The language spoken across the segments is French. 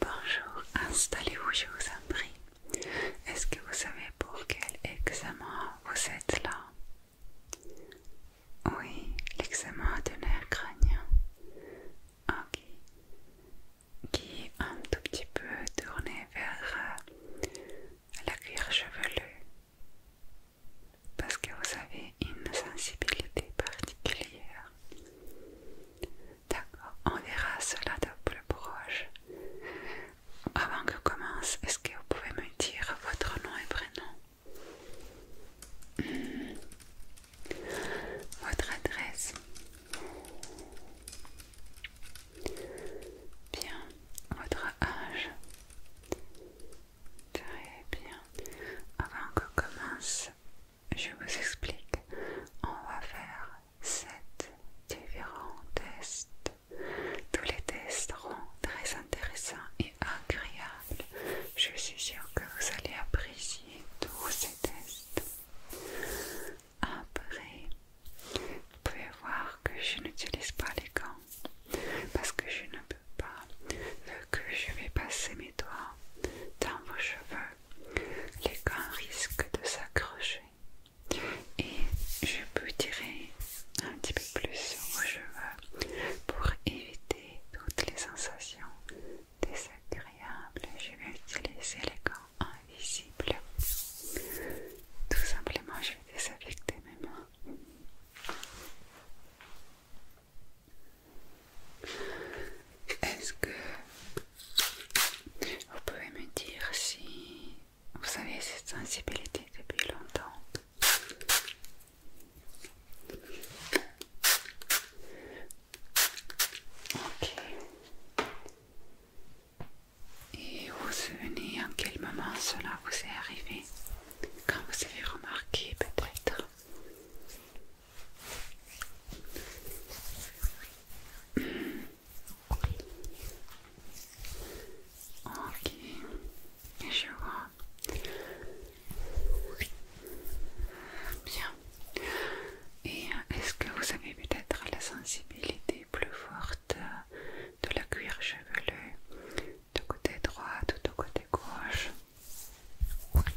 Bonjour, installez-vous, je vous en prie. Est-ce que vous savez pour quel examen vous êtes là Oui, l'examen de nerf crânien. Ok. Qui est un tout petit peu tourné vers euh, la cuir chevelue. Parce que vous avez une sensibilité particulière D'accord, on verra cela de plus proche. Avant que commence, est-ce que vous pouvez me dire votre nom et prénom hmm. Votre adresse Bien, votre âge Très bien. Avant que commence, je vous explique. On va faire sept différents tests. Tous les tests seront très intéressants et agréables. Je suis sûre que vous allez apprécier tous ces tests. Après, vous pouvez voir que je n'utilise pas les gants parce que je ne peux pas, que je vais passer mes doigts dans vos cheveux, les gants risquent de s'accrocher. Et je peux tirer un petit peu plus sur vos cheveux pour éviter toutes les sensations désagréables. Je vais utiliser les gants invisibles. Tout simplement, je vais désaffecter mes mains. Est-ce que vous pouvez me dire si vous avez cette sensibilité depuis longtemps Ok. Et vous vous souvenez en quel moment cela vous est arrivé Quand vous avez remarqué peut-être Ok, je vois. Bien. Et euh, est-ce que vous avez peut-être la sensibilité plus forte euh, de la cuir chevelu du côté droit ou du côté gauche Ok,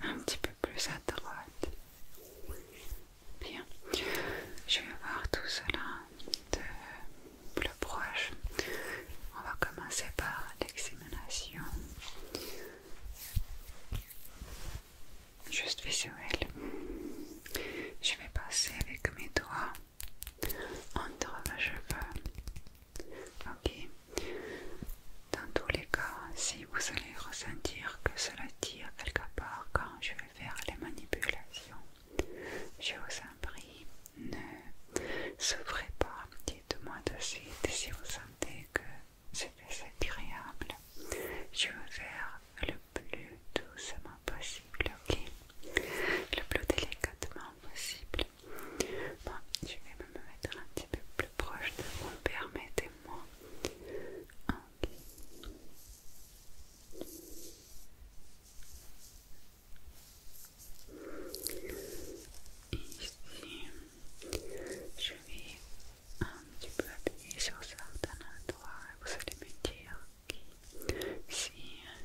un petit peu plus à droite. Bien, je vais voir tout cela de plus proche. On va commencer par l'examination juste visuelle. Je vais passer avec mes doigts entre mes cheveux. Ok. Dans tous les cas, si vous allez ressentir que cela tire quelque part quand je vais faire les manipulations, je vous en prie, ne souffrez pas. Dites-moi de suite si vous sentez que c'est agréable. Je vais faire le plus doucement possible, ok Le plus délicatement possible. Bon, je vais me mettre un petit peu plus proche de vous, permettez-moi. Ok. Ici, je vais un petit peu appuyer sur certains endroits et vous allez me dire si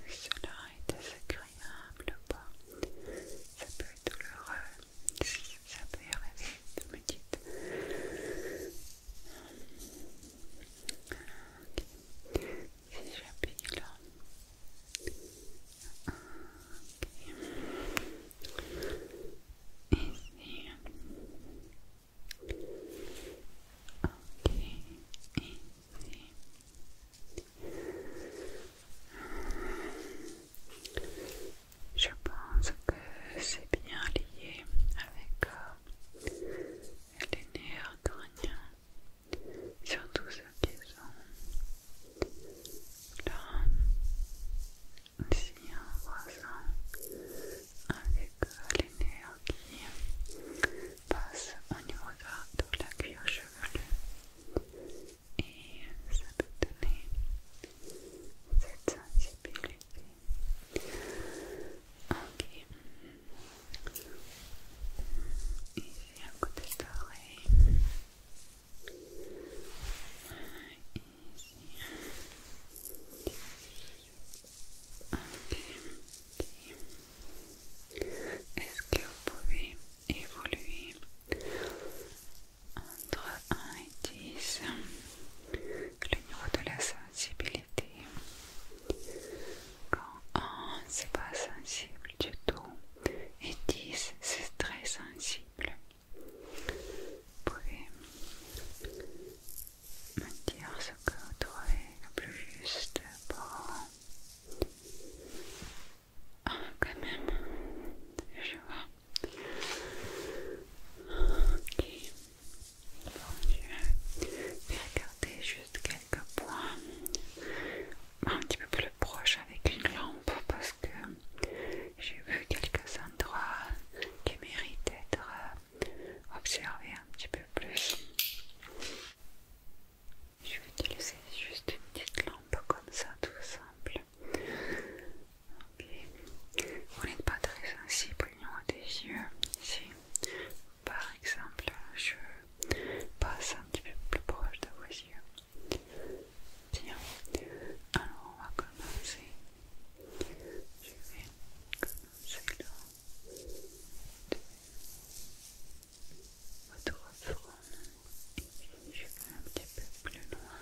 cela est désagréable ou pas, ça peut être douloureux, si ça peut arriver, me dites. Si j'appuie là, ici je pense que c'est bien lié avec euh, les nerfs surtout ceux qui sont là. ici un voisin avec c'est que l'air qui passe au niveau de la cuir chevelue et ça peut donner cette sensibilité. Ok. Ici à côté de l'oreille. Ici. Est-ce que vous pouvez évoluer entre 1 et 10 le niveau de la sensibilité Quand 1 c'est pas sensible du tout et 10 c'est très sensible, vous pouvez me dire ce que vous trouvez le plus juste pour ah, quand même, je vois. je vais regarder juste quelques points. Un petit peu plus proche avec une lampe parce que j'ai vu quelques endroits qui méritent d'être observés un petit peu plus. Je vais utiliser juste une petite lampe comme ça, tout simple. Vous n'êtes pas très sensible au des yeux. par exemple, je passe un petit peu plus proche de vos yeux. Tiens. Alors, on va commencer. Je vais commencer votre Je vais un petit peu plus loin.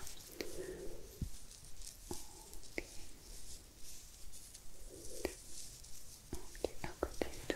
côté de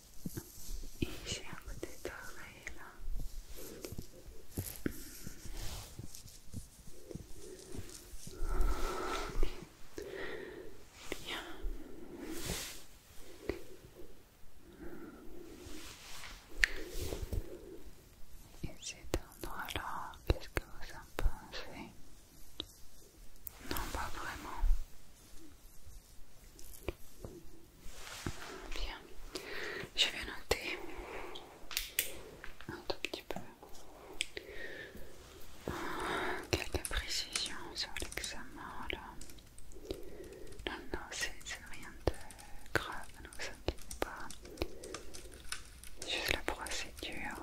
Et j'ai un côté d'oreille, là. Bien. Et cet endroit-là, qu'est-ce que vous en pensez Non, pas vraiment. Bien, je vais noter un tout petit peu ah, quelques précisions sur l'examen là. Non, non, c'est rien de grave, ne vous inquiétez pas. Juste la procédure.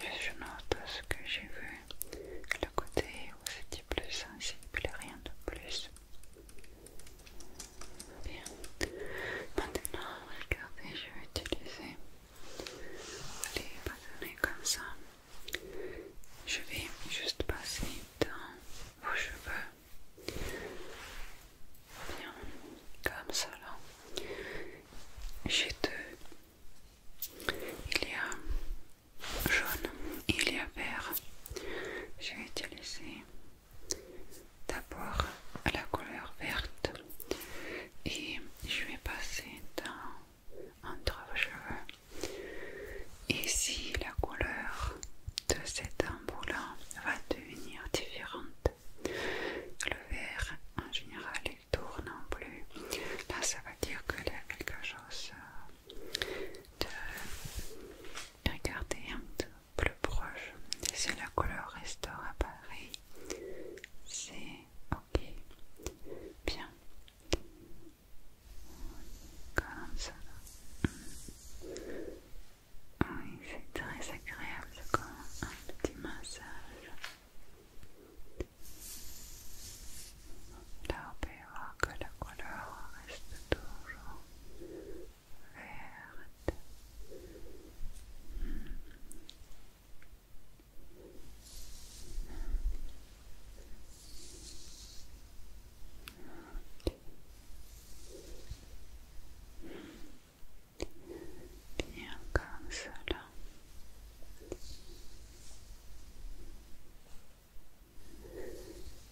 Je note ce que j'ai vu, le côté où c'était plus sensible, rien de plus. Bien. Maintenant, regardez, je vais utiliser les bâtonnets comme ça. Je vais juste passer dans vos cheveux. Bien, comme ça J'ai deux. Il y a jaune, il y a vert. Je vais utiliser d'abord la couleur verte et je vais passer dans, entre vos cheveux. Et si la couleur de cet embout va devenir différente. Le vert, en général, il tourne en bleu. Là, ça va dire que y quelque chose euh, de regarder un peu plus proche si la couleur restaure à pareil. C'est ok. Bien. Comme ça. Mm. Oui, c'est très agréable. C'est comme un petit massage. La allez voir que la couleur reste toujours verte. Bien comme cela.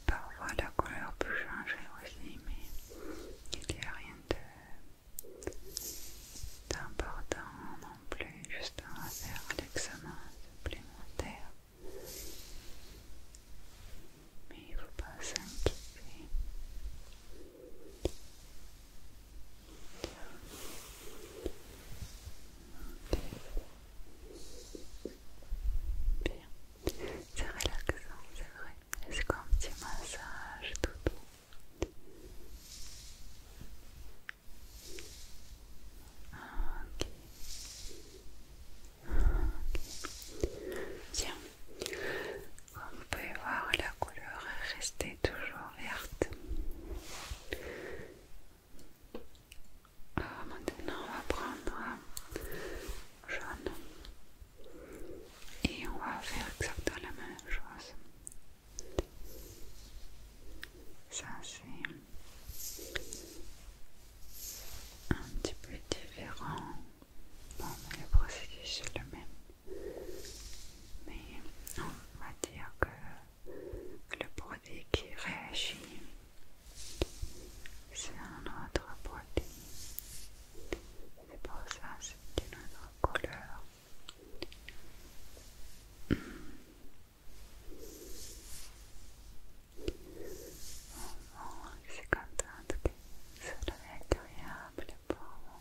Parfois la couleur peut changer aussi, mais il n'y a rien d'important non plus, juste à faire l'examen supplémentaire. Mais il ne faut pas s'inquiéter. Bien. C'est relaxant, c'est vrai. C'est comme un petit massage tout doux. Comme vous pouvez voir, la couleur est restée toujours verte. Euh, maintenant, on va prendre euh, jaune et on va faire exactement la même chose. Ça, c'est un petit peu différent. Bon, mais le procédé, c'est le même. Mais on va dire que le produit qui réagit c'est un autre produit. C'est pour ça c'est une autre couleur. C'est Bon, je suis que ça soit agréable pour moi.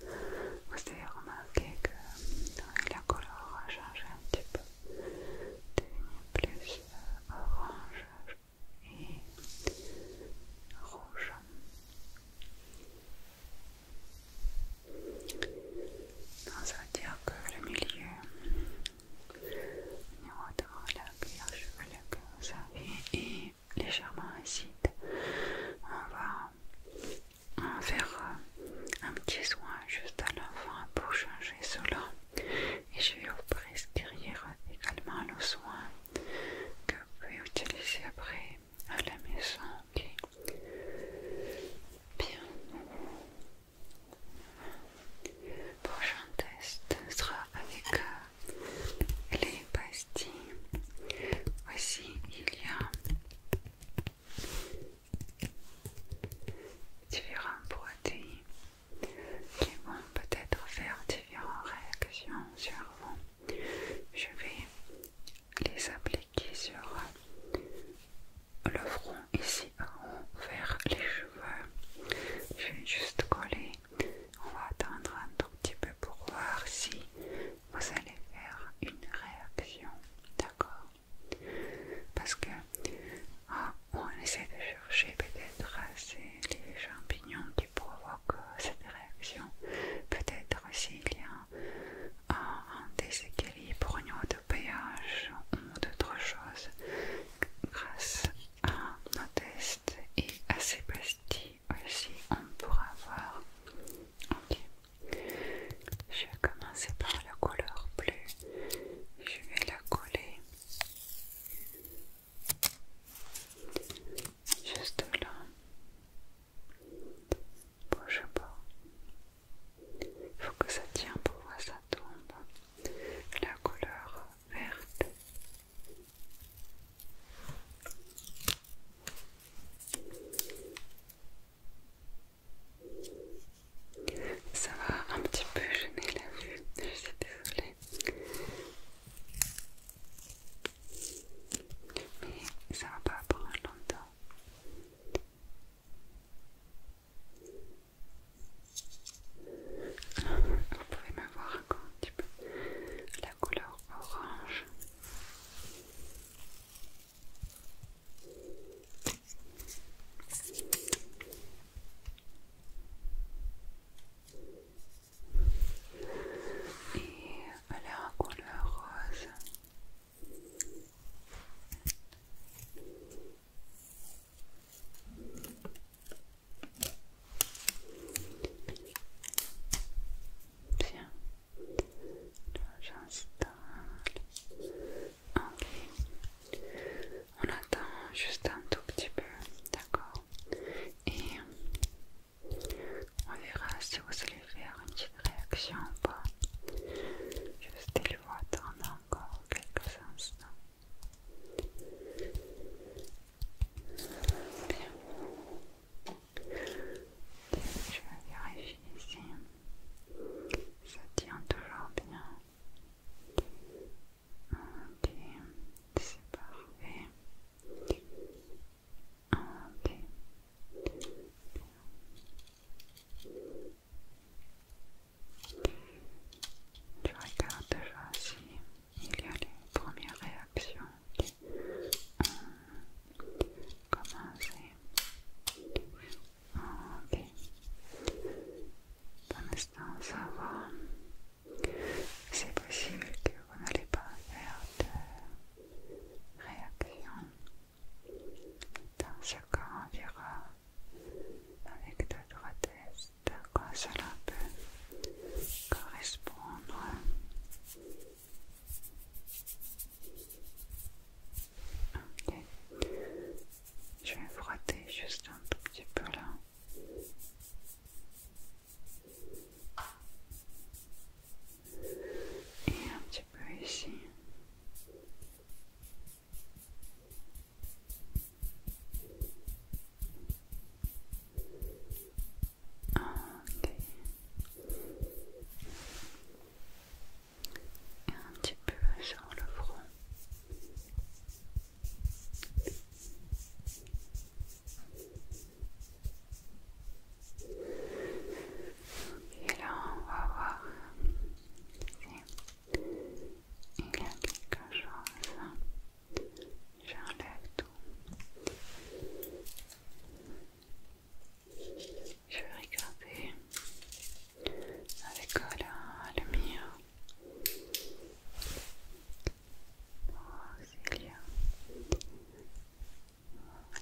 Vous avez remarqué que euh, la couleur a changé un petit peu, devenu plus euh, orange et rouge. Donc ça veut dire que le milieu au niveau de la cuillère est légèrement acide. On va va faire euh, un petit soin juste à l'enfant pour changer cela. Et je vais vous prescrire également le soin que vous pouvez utiliser après à la maison. ok Bien. Prochain test sera avec euh, les pastilles. Voici, il y a différents produits qui vont peut-être faire différentes réactions sur vous. Je vais les appliquer sur le front ici en haut vers les cheveux. Je vais juste coller. On va attendre un tout petit peu pour voir si vous allez faire une réaction, d'accord Parce que oh, on essaie de chercher peut-être c'est les champignons qui provoquent cette réaction. Peut-être s'il y a un, déséquilibre au niveau de péage ou d'autres choses, grâce à nos tests et à ces aussi, on pourra voir. Je vais commencer par la couleur bleue. Je vais la coller juste là. je pas. Il faut que ça tienne pour voir ça tombe. La couleur verte. Ça va un petit peu gêner la vue, je suis désolée. Mais ça va pas prendre longtemps. Vous pouvez me voir encore un petit peu la couleur orange. Et elle est en couleur rose. Tiens. Ok. On attend juste un tout petit peu, d'accord Et on verra si vous allez faire une petite réaction ou pas. Juste il faut attendre encore quelques instants. Bien. Je vais vérifier ici. Ça tient toujours bien. Ok, c'est parfait. Ok. Je regardes déjà si il y a les premières réactions commencer. Ok. Pour l'instant, ça va. C'est possible que vous n'allez pas faire de réaction. Dans ce cas, on verra avec d'autres droite. De quoi cela peut correspondre. Je vais frotter juste un petit peu là. Et un petit peu ici un petit peu sur le front. Et là, on va voir si il y a quelque chose. J'enlève tout. Je vais regarder avec la lumière. Oh, s'il y a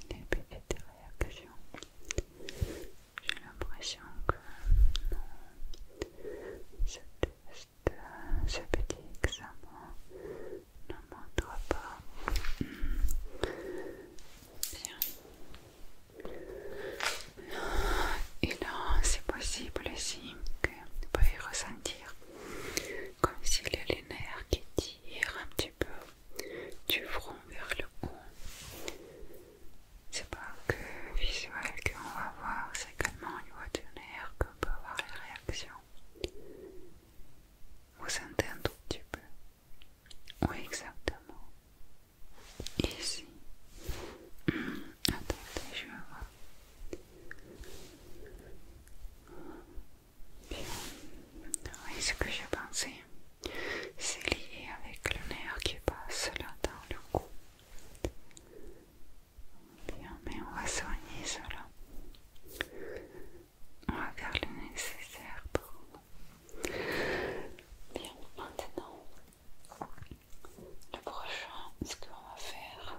des petites réactions. J'ai l'impression que ce test, ce petit examen ne montre pas. Hmm. Bien. Et là, c'est possible aussi que vous pouvez ressentir comme s'il y a les nerfs qui tirent un petit peu du front vers le haut. C'est pas que visuel qu'on va voir, c'est également au niveau du nerf qu'on peut avoir les réactions. Vous sentez un tout petit peu oui, exactement. Ici. Hum, attendez, je vais voir. Bien. Oui, ce que j'ai pensé, c'est lié avec le nerf qui passe là dans le cou. Bien, mais on va soigner cela. On va faire le nécessaire pour Bien, maintenant, le prochain, ce qu'on va faire,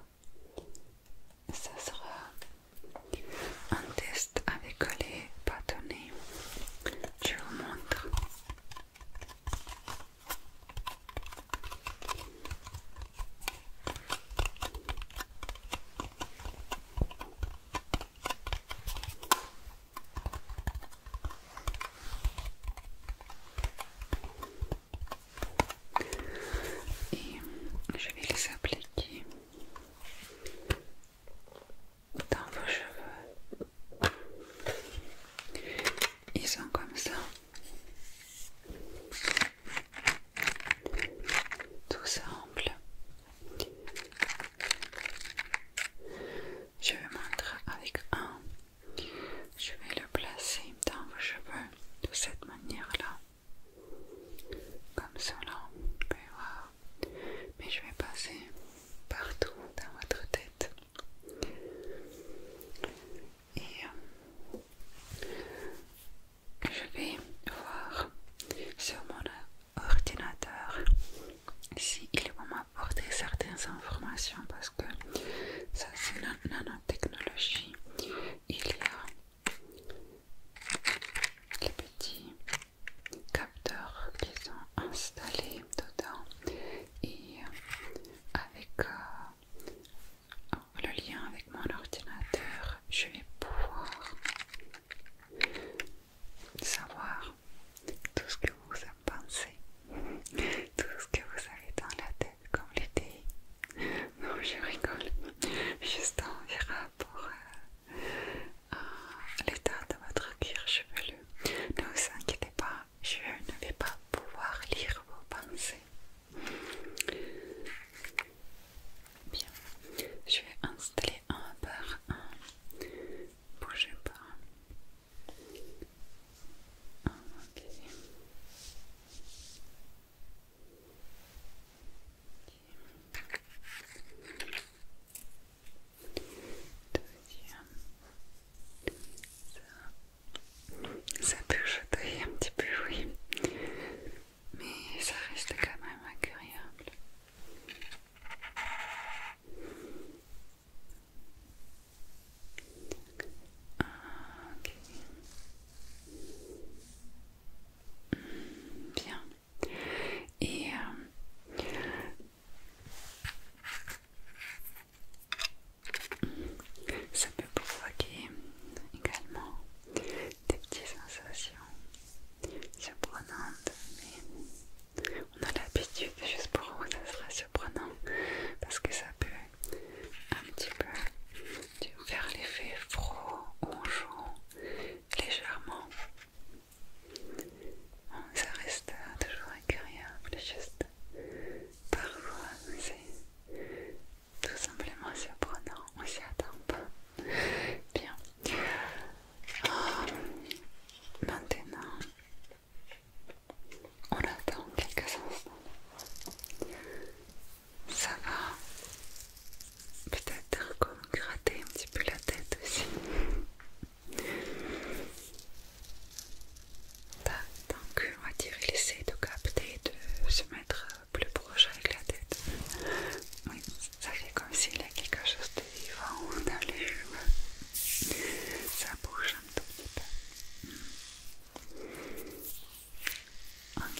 ce sera un test avec les bâtonnets. Je vous montre. Et je vais les appliquer dans vos cheveux. Ils sont comme ça. Tout simple. Je vais m'en avec un. Je vais le placer dans vos cheveux de cette manière-là. Comme cela, vous Mais je vais passer partout dans votre tête. Et euh, je vais voir sur mon ordinateur si il va m'apporter certaines informations parce que ça c'est la nanotechnologie il y a les petits capteurs qui sont installés dedans et avec euh, le lien avec mon ordinateur je vais pouvoir savoir tout ce que vous en pensez, tout ce que vous avez dans la tête comme l'été Non, je rigole, juste en verra pour l'état de votre cuir chevelu. Ne vous inquiétez pas, je ne vais pas pouvoir lire vos pensées. Bien, je vais installer appliquer un par un. Bougez pas. Okay. Deuxième. Ça, ça peut jeter un petit peu, oui. Mais ça reste quand même agréable. Bien. Et euh, ça peut provoquer également des petites sensations surprenantes, on a l'habitude, juste pour vous, ça sera surprenant parce que ça peut un petit peu faire l'effet froid, joue légèrement. ça reste toujours agréable, juste parfois c'est tout simplement surprenant, on s'y attend pas. Bien. Ah, maintenant, on attend quelques instants. Ça va peut-être comme gratter un petit peu la tête aussi. Donc on va dire il essaie de capter, de se mettre plus proche avec la tête. Oui, ça fait comme s'il y a quelque chose de il va les cheveux. Ça bouge un tout petit peu. Ok.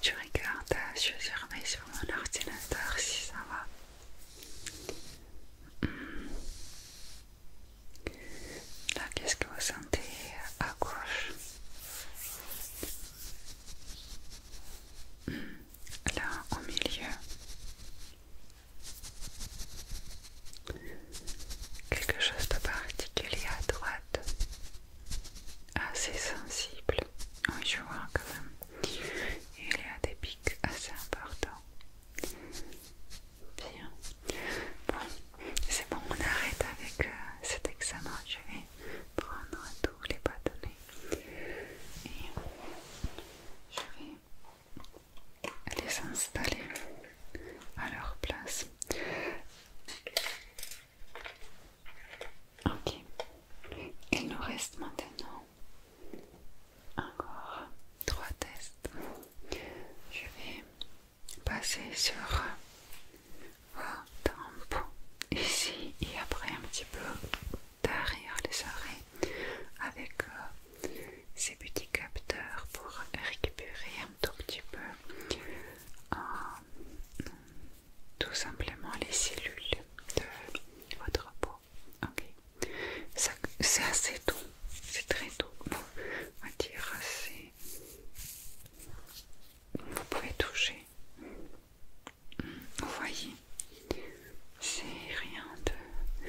Tu regardes, je surveille sur mon ordinateur si ça va. Hmm. Là, qu'est-ce que vous sentez à gauche hmm. Là, au milieu. Quelque chose de particulier à droite, assez sensible. Oui, je vois quand même. Il y a des pics assez importants. Bien. Bon, c'est bon, on arrête avec euh, cet examen. Je vais prendre tous les bâtonnets et je vais les installer à leur place. Ok, il nous reste maintenant encore trois tests. Je vais passer sur vos tempes ici et après un petit peu derrière les oreilles avec euh, ces petits capteurs pour récupérer un tout petit peu euh, tout simplement les cellules de votre peau. C'est assez doux, c'est très doux. on va dire assez. Vous pouvez toucher. Vous voyez, c'est rien de.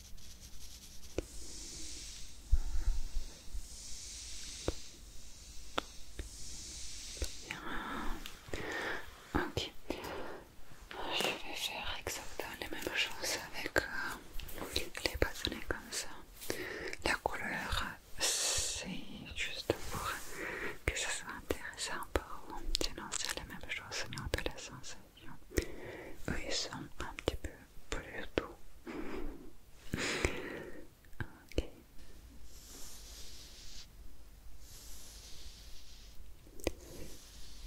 Ok. Je vais faire exactement la même chose avec euh, les bâtonnets comme ça. La couleur, c'est juste pour que ce soit intéressant pour vous. Sinon, c'est la même chose, mais on peut la sens. Oui, ça sont un petit peu plus doux. ok.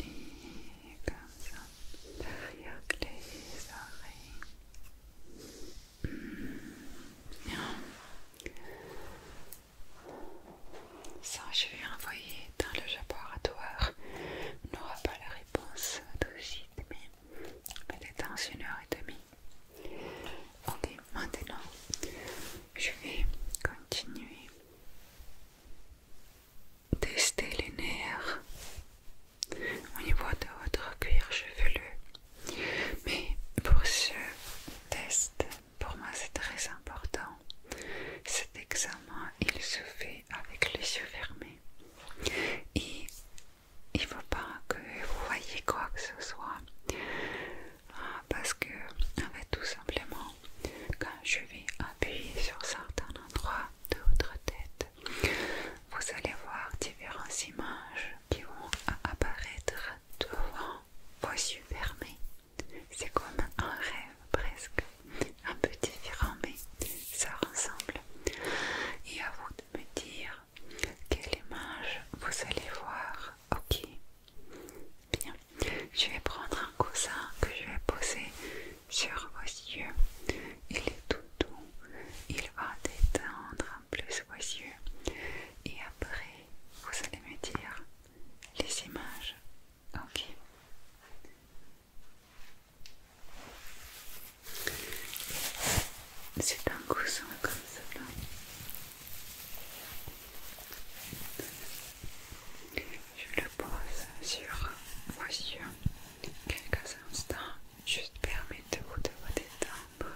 Et comme ça, derrière les oreilles. Hmm, ça, je vais envoyer dans le laboratoire n'aura pas la réponse tout de mais peut-être dans une heure et demie. Ok, maintenant je vais continuer tester les nerfs au niveau de votre cuir chevelu. Mais pour ce test, pour moi c'est très important. Cet examen, il se fait avec les yeux fermés. Et il ne faut pas que vous voyez quoi que ce soit. Ah, parce que, tout simplement, quand je vais appuyer sur certains endroits de votre tête, vous allez voir différentes images qui vont apparaître devant vos yeux fermés. C'est comme un rêve presque un peu différent, mais ça ressemble. Et à vous de me dire quelle image vous allez voir. Ok. Bien. Je vais prendre un coussin que je vais poser sur vos yeux. Il est tout doux. Il va détendre en plus vos yeux. Et après, vous allez me dire les images. Ok. C'est un coussin comme cela. Je le pose sur moi quelques instants, juste permettez-vous de vous détendre.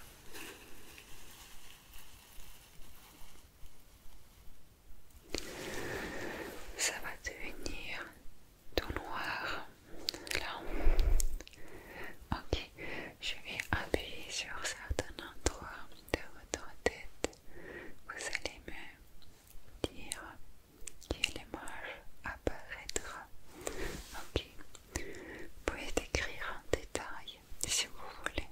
Ça va devenir tout noir là ok je vais appuyer sur certains endroits de votre tête vous allez me dire quelle image apparaîtra ok vous pouvez décrire en détail si vous voulez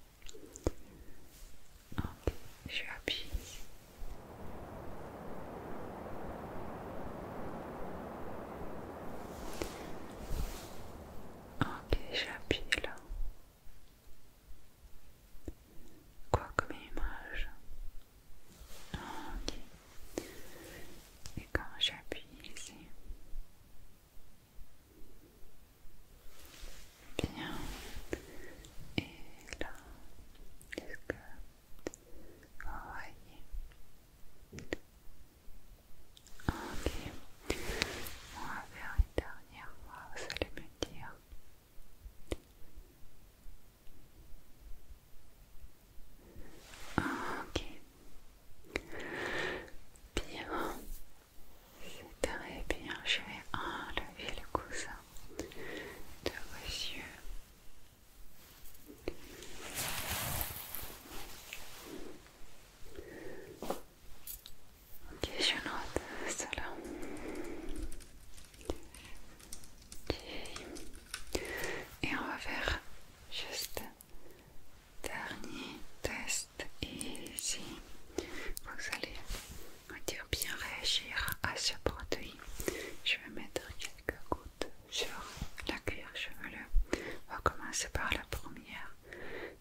ok je appuie Ok, j'appuie là. Quoi comme image Ok. Et quand j'appuie ici. Bien. Et là, est-ce que voyez Ok. On va faire une dernière fois, vous allez me dire. Ok. Bien. C'est très bien. Je vais enlever le coussin de vos yeux. Ok, je note cela. ok, Et on va faire juste dernier test ici. Vous allez bien réagir à ce produit. Je vais mettre gouttes sur la cuir chevelu. On va commencer par la première.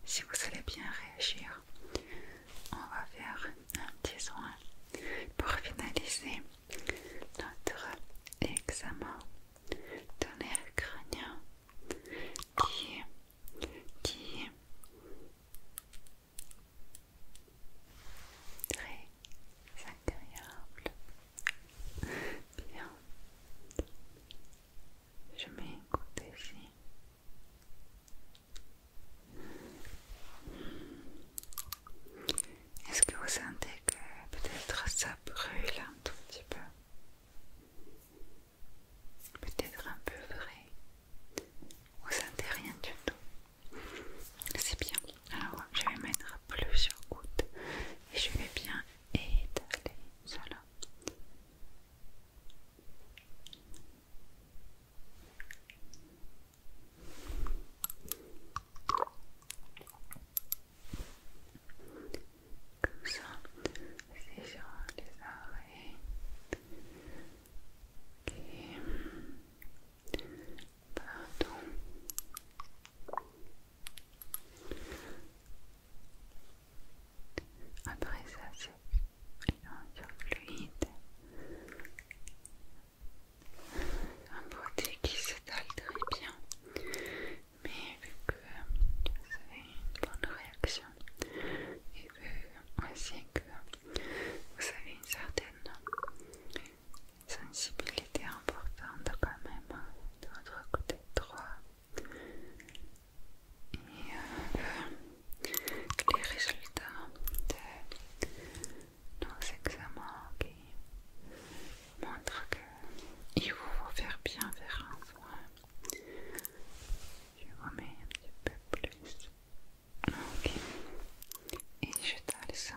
Si vous allez bien réagir, on va faire un petit soin pour finaliser notre examen de le crânien qui, qui très agréable. Bien, je mets côté ici. Est-ce que vous sentez que peut-être ça brûle un tout petit peu Peut-être un peu vrai. Vous sentez rien du tout. C'est bien. Alors, je vais mettre plusieurs gouttes et je vais bien étaler cela. Comme ça, c'est sur les oreilles. Pardon. Après ça, c'est une fluide. Un produit qui s'étale très bien, mais vu que vous avez une bonne réaction et vu aussi que vous avez une certaine sensibilité importante quand même hein, de votre côté droit et euh, les résultats de nos examens montrent qu'il faut vous faire bien vers un soin je vous mets un petit peu plus ok et je t'aille ça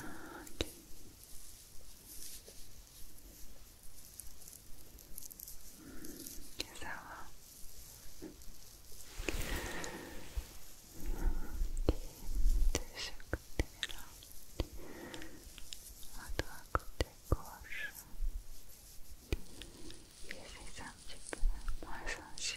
Ok, Ça va. De ce côté-là, à toi, côté gauche, et fais un petit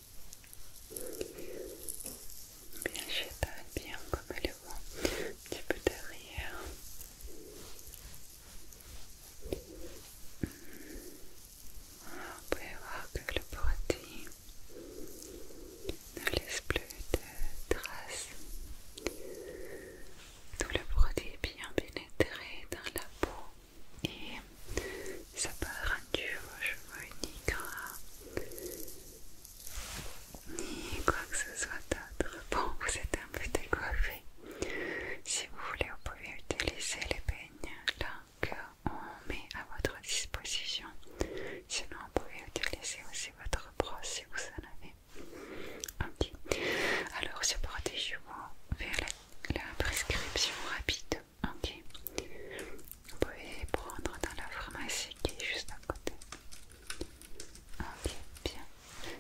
Bien, je bien comme le vent, un petit peu derrière. vous hmm. pouvez voir que le produit ne laisse plus de traces. Tout le produit est bien pénétré dans la peau et ça peut rendu vos cheveux ni gras ni quoi que ce soit d'autre. Bon, vous êtes un peu décoiffé. Si vous voulez, vous pouvez utiliser les peignes là qu'on met à votre disposition. Sinon, vous pouvez utiliser aussi votre brosse si vous en avez. petit. Alors, ce des cheveux vers la prescription rapide Ok. Vous pouvez prendre dans la pharmacie qui est juste à côté. Ok, bien.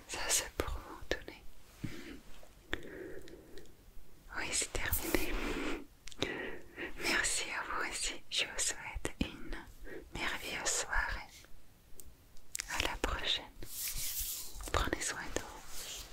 Ça c'est pour vous, donner. Mhm. Oui, c'est terminé. Merci à vous aussi. Je vous souhaite une merveilleuse soirée. À la prochaine. Prenez soin de vous.